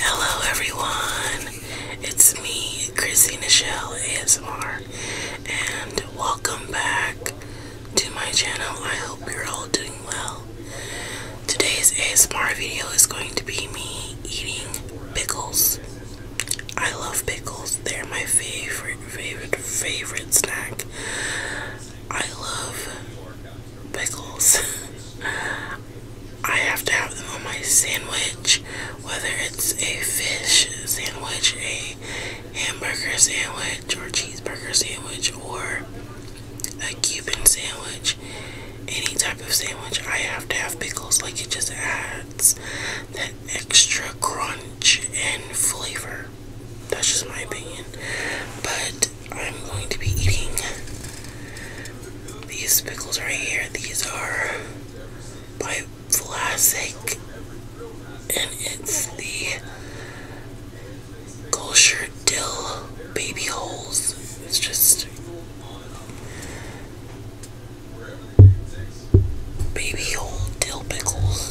Hello everyone, it's me, Chrissy Nichelle ASMR, and welcome back to my channel. I hope you're all doing well. Today's ASMR video is going to be me eating pickles. I love pickles. They're my favorite, favorite, favorite snack. I love pickles. I have to have them on my sandwich, whether it's a fish sandwich, a hamburger sandwich, or cheeseburger sandwich, or a Cuban sandwich. Any type of sandwich, I have to have pickles. Like it just adds that extra crunch and flavor. That's just my opinion. But I'm going to be eating these pickles right here. These are by Vlasic, and it's the kosher dill baby holes. It's just baby hole dill pickles.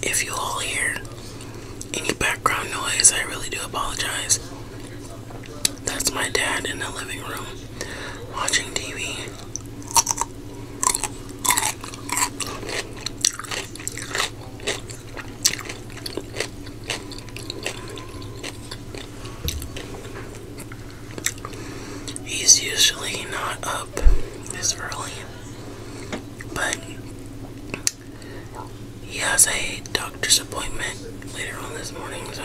If you all hear any background noise, I really do apologize. That's my dad in the living room watching TV. He's usually not up this early, but he has a doctor's appointment later on this morning, so.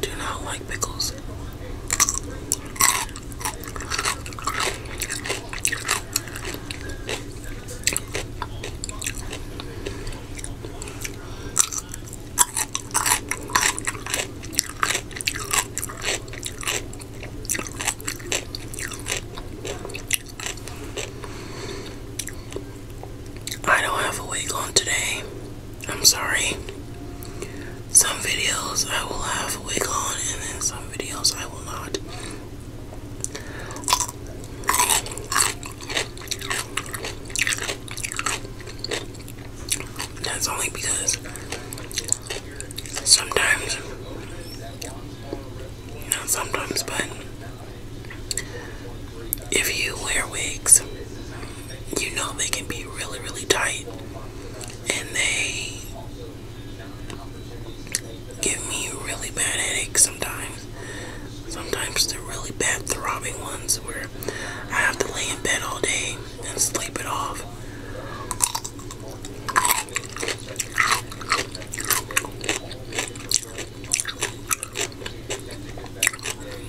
do not like pickles. I don't have a wig on today. I'm sorry. Some videos I will have a wig on, and then some videos I will not. That's only because sometimes, not sometimes, but if you wear wigs you know they can be really, really tight. And they give me really bad headaches sometimes. Sometimes they're really bad throbbing ones where I have to lay in bed all day and sleep it off.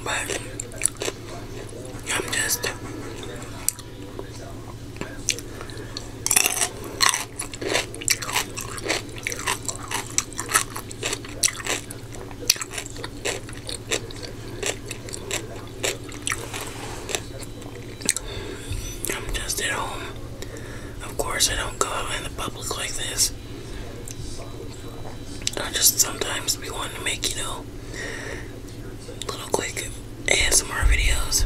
But I'm just I'm just at home. Of course I don't go out in the public like this. I just sometimes be wanting to make, you know, little quick ASMR videos.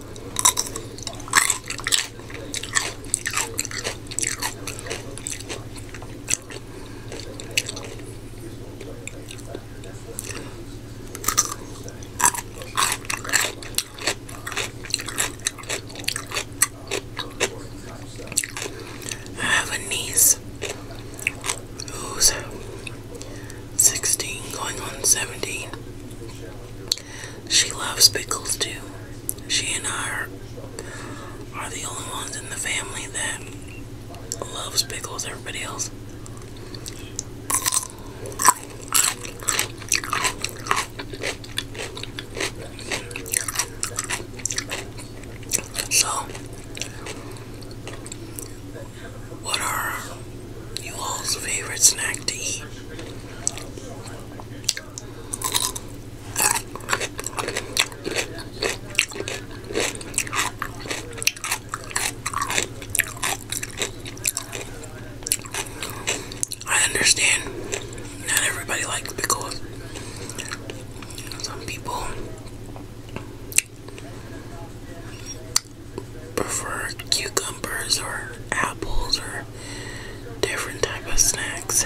I have a niece who's 16 going on 17. She loves pickles too. She and I are, are the only ones in the family that loves pickles. Everybody else so what are you all's favorite snack to eat? I understand not everybody likes pickles. Some people prefer cucumbers or apples or different type of snacks.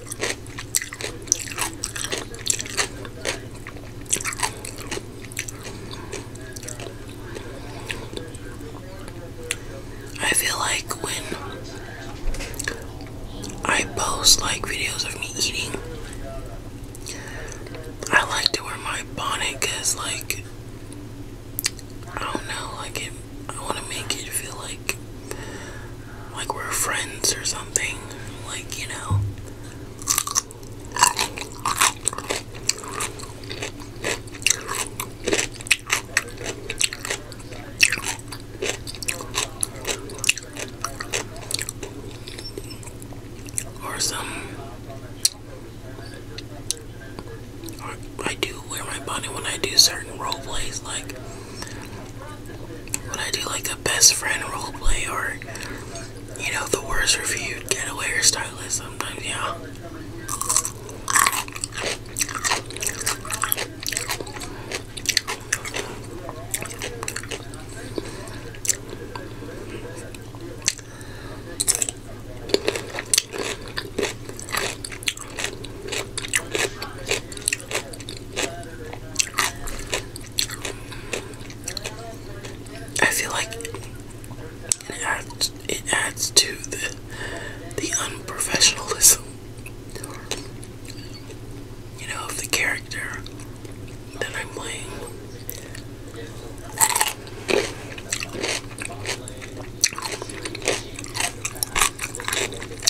I feel like when I post like videos of me eating, I like to wear my bonnet because like I don't know, like it, I want to make it feel like like we're friends or something. Like, you know. Or some. Or I do wear my bunny when I do certain role plays, like when I do like a best friend role play, or, you know, the worst get away or stylist sometimes, yeah. I feel like it adds, to the the unprofessionalism, you know, of the character that I'm playing.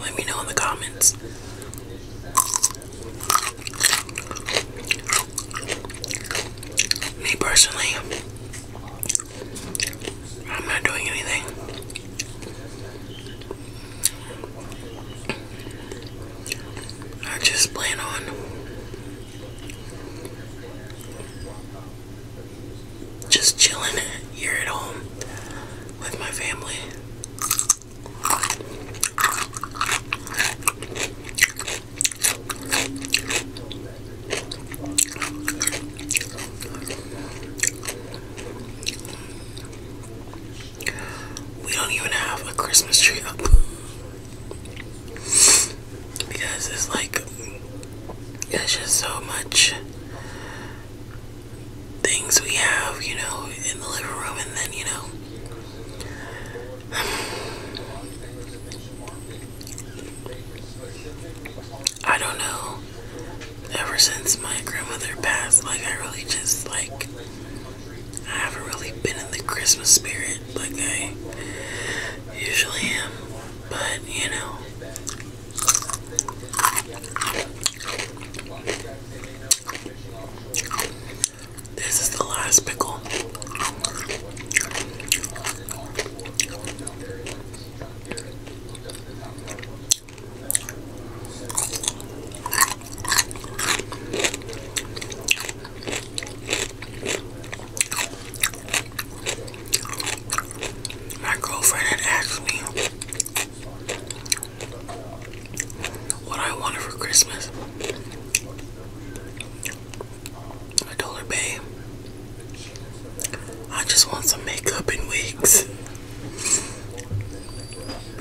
Let me know in the comments. Me personally, I'm not doing anything. I just plan on just chilling here at home with my family. We don't even have a Christmas tree up because it's like it's just so much things we have, you know, in the living room, and then, you know, I don't know. Ever since my grandmother passed, like, I really just, like, I haven't really been in the Christmas spirit like I usually am, but you know, this is the last pickle. My girlfriend had asked me what I wanted for Christmas. I told her, babe, I just want some makeup and wigs.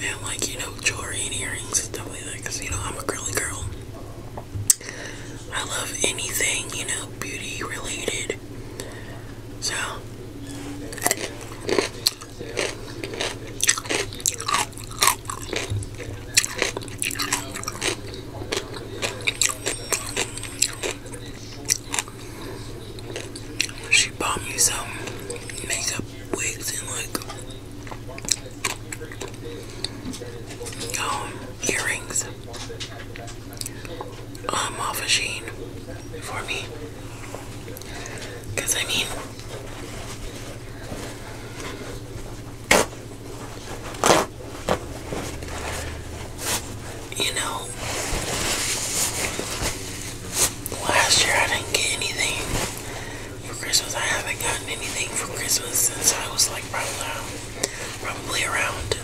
And like, you know, jewelry and earrings and stuff like Because, you know, I'm a girly girl. I love anything, you know, beauty related. So she bought me some makeup wigs and like um, earrings um, off of Sheen for me. Because I mean, you know, last year I didn't get anything for Christmas. I haven't gotten anything for Christmas since I was like probably probably around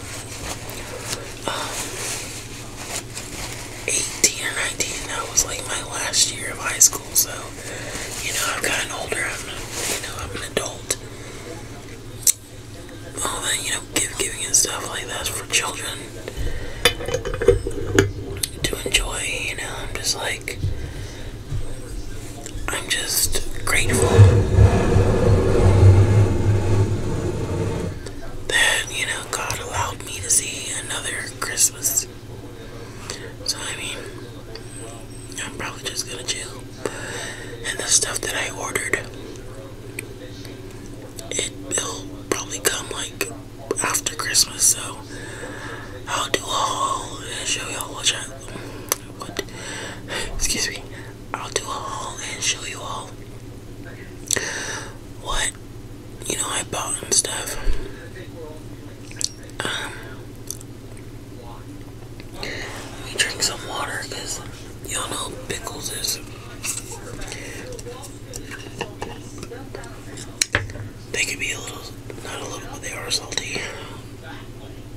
um, 18 or 19. That was like my last year of high school, so you know I've gotten older. I'm, you know, I'm an adult. All that you know, giving and stuff like that's for children to enjoy. You know, I'm just like. I'm just grateful that, you know, God allowed me to see another Christmas. So, I mean, I'm probably just gonna chill. And the stuff that I ordered, it, will probably come like after Christmas, so I'll do a haul and show y'all what I. What? Excuse me. I'll do a haul and show you all what you know I bought and stuff. Um, let me drink some water because y'all know pickles is. They could be a little, not a little, but they are salty.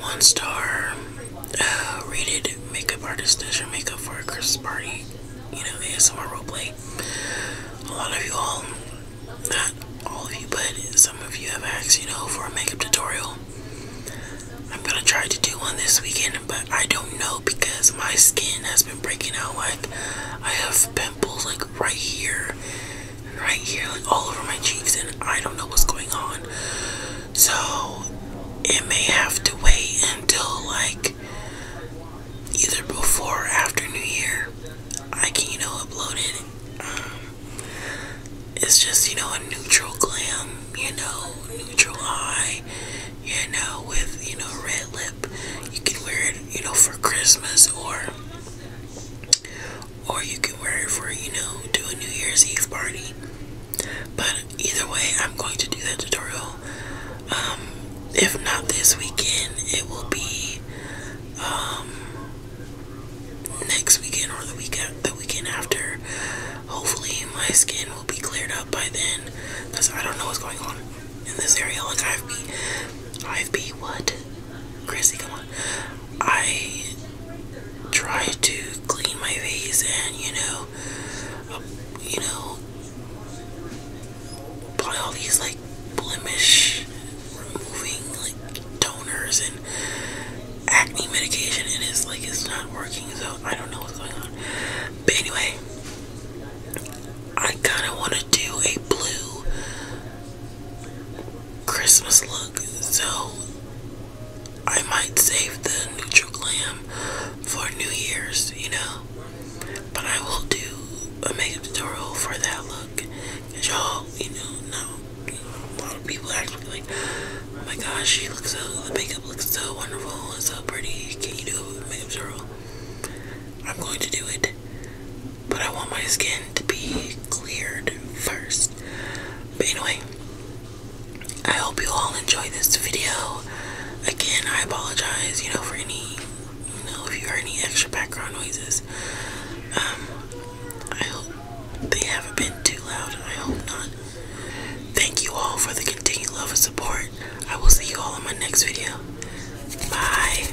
One star uh, rated makeup artist does your makeup for a Christmas party. You know, ASMR roleplay. A lot of you all, not all of you, but some of you have asked, you know, for a makeup tutorial. I'm gonna try to do one this weekend, but I don't know because my skin has been breaking out. Like, I have pimples, like, right here, right here, like, all over my cheeks, and I don't know what's going on. So it may have to wait until like either before or after New Year. I can, you know, upload it. Um, it's just, you know, a neutral glam, you know, neutral eye, you know, with, you know, red lip. You can wear it, you know, for Christmas or or you can wear it for you know do a New Year's Eve party. But either way, I'm going to do that tutorial. Um, if not this weekend, it will be um, next weekend or the weekend the weekend after. Hopefully, my skin will be cleared up by then, cause I don't know what's going on in this area. Like I've be, I've be what? Chrissy, come on. I try to clean my face and you know, um, you know, apply all these like blemish removing like toners and acne medication, and it's like it's not working. So I don't know what's going on. But anyway, I kind of want to do a blue. Christmas look, so I might save the neutral glam for New Year's, you know. But I will do a makeup tutorial for that look. Cause y'all, you know, no, a lot of people actually like, oh my gosh, she looks so, the makeup looks so wonderful it's so pretty. Can you do a makeup tutorial? I'm going to do it, but I want my skin to be cleared first. But anyway, I hope you all enjoy this video. Again, I apologize, you know, for any, you know, if you heard any extra background noises. Um, I hope they haven't been too loud. I hope not. Thank you all for the continued love and support. I will see you all in my next video. Bye.